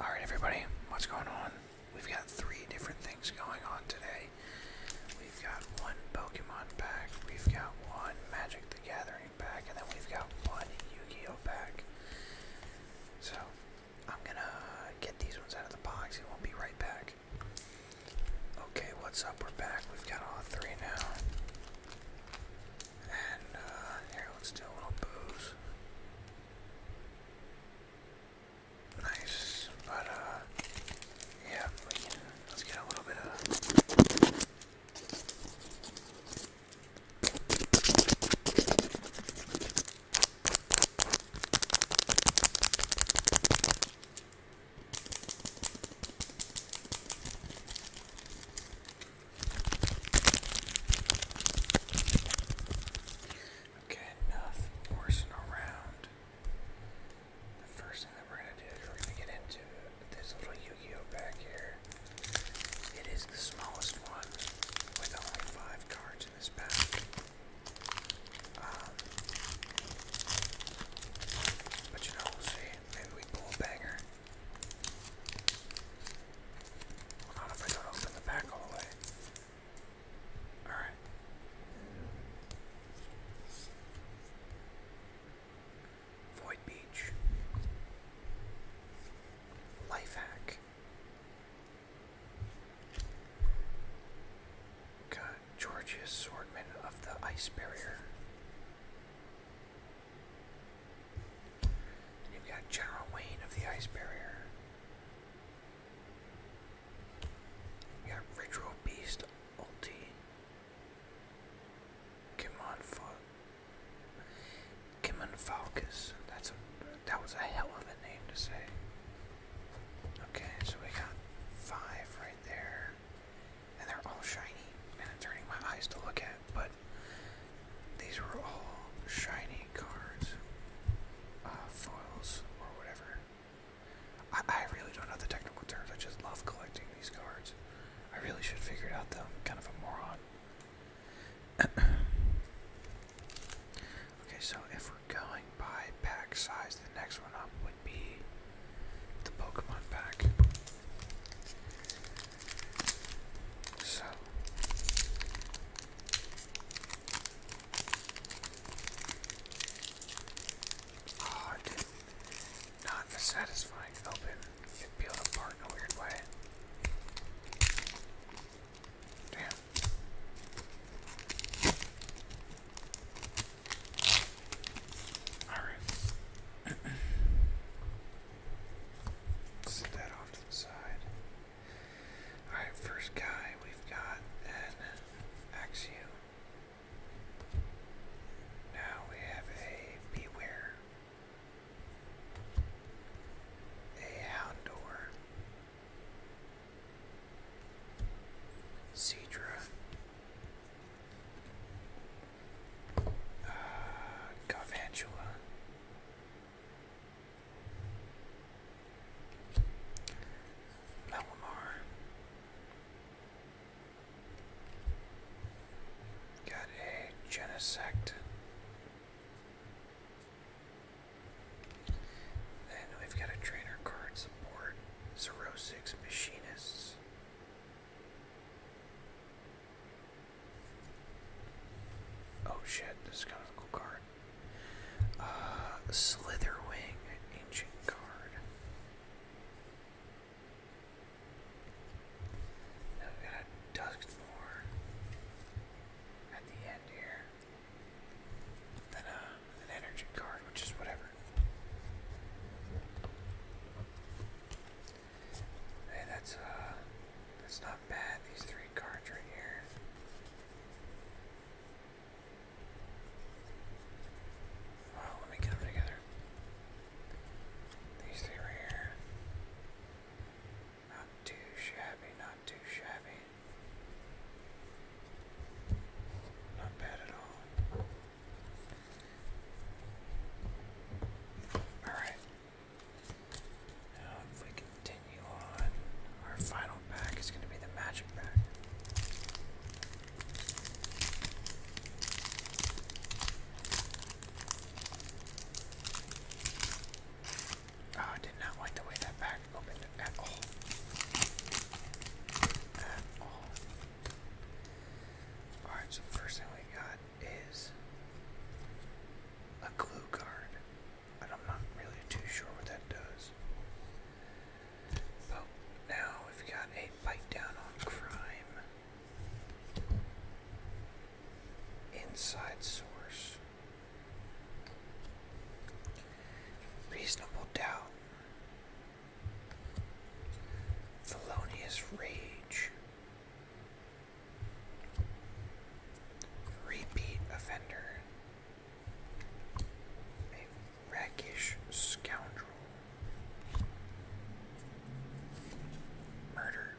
Alright, everybody, what's going on? We've got three different things going on today. We've got one Pokemon pack, we've got one Magic the Gathering pack, and then we've got one Yu Gi Oh pack. So, I'm gonna get these ones out of the box and we'll be right back. Okay, what's up? We're back. We've got all three now. And uh, here, let's do a little booze. Nice, but uh, yeah, let's get a little bit of. Okay, enough horsing around. The first thing that we're going to do is we're going to get into this little Yu Gi Oh back here. It is the smallest one with only five cards in this pack. Um, but you know, we'll see. Maybe we pull a banger not if I don't open the back all the way. Alright. Void Beach. Life hack. Got Georgius Swordman of the Ice Barrier you've got General Wayne of the Ice Barrier. You got Ritual Beast Ulti. Kimon Falcus. Kimon Falcus. That's a that was a hell of a name to say. Okay, so we got five right there. And they're all shiny. And it's my eyes to look at but these were all shiny cards, uh, foils, or whatever. I, I really don't know the technical terms, I just love collecting these cards. I really should figure it out though, I'm kind of a moron. okay, so if we're going by pack size, the next one up would be the Pokemon pack. So Oh, it not a satisfying open. It peeled apart in a weird way. Damn. Alright. Set that off to the side. Alright, first guy we've got an Axiom. Now we have a Beware. A Houndour. Cedra. Uh, Garvantula. Malamar. Got a Genesect. Then we've got a trainer card support. Zero six machinists. Oh shit, this kind of cool card. Uh, Slitherwing, ancient card. Now got a Duskmore at the end here. Then uh, an energy card, which is whatever. Hey, that's uh, that's not bad. These three cards right here. Well, let me get them together. These three right here. Not too shabby, not too shabby. Not bad at all. Alright. Now, if we continue on, our final pack is going to be the magic pack. Oh, I did not like the way that pack opened at all. At all. Alright, so first thing we got is a glue guard, and I'm not really too sure what that does. But oh, now we've got a bite down on crime. Inside source. Reasonable doubt. Felonious Rage. Repeat offender. A rakish scoundrel. Murder.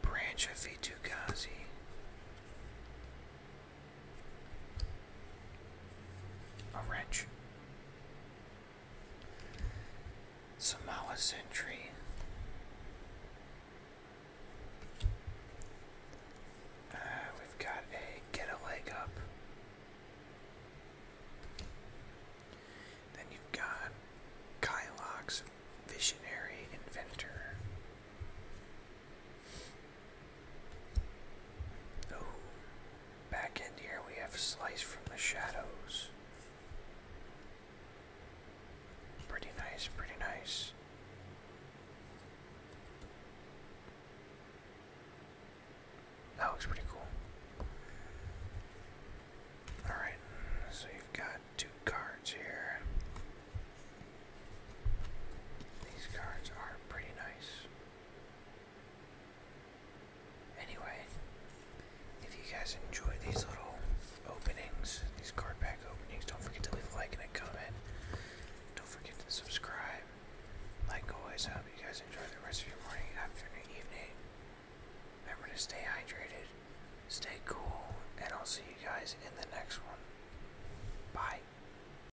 Branch of Vitugazi. A wrench. Samoa century. Uh, we've got a get a leg up. Then you've got Kylox, Visionary Inventor. Oh, back end here we have Slice from the Shadows. Pretty nice, pretty nice. That looks pretty cool. Alright, so you've got two cards here. These cards are pretty nice. Anyway, if you guys enjoy these little openings, these card pack openings, don't forget to leave a like and a comment. Don't forget to subscribe. Like always, I hope you guys enjoy the rest of your morning, afternoon, evening. Remember to stay hydrated, stay cool, and I'll see you guys in the next one. Bye.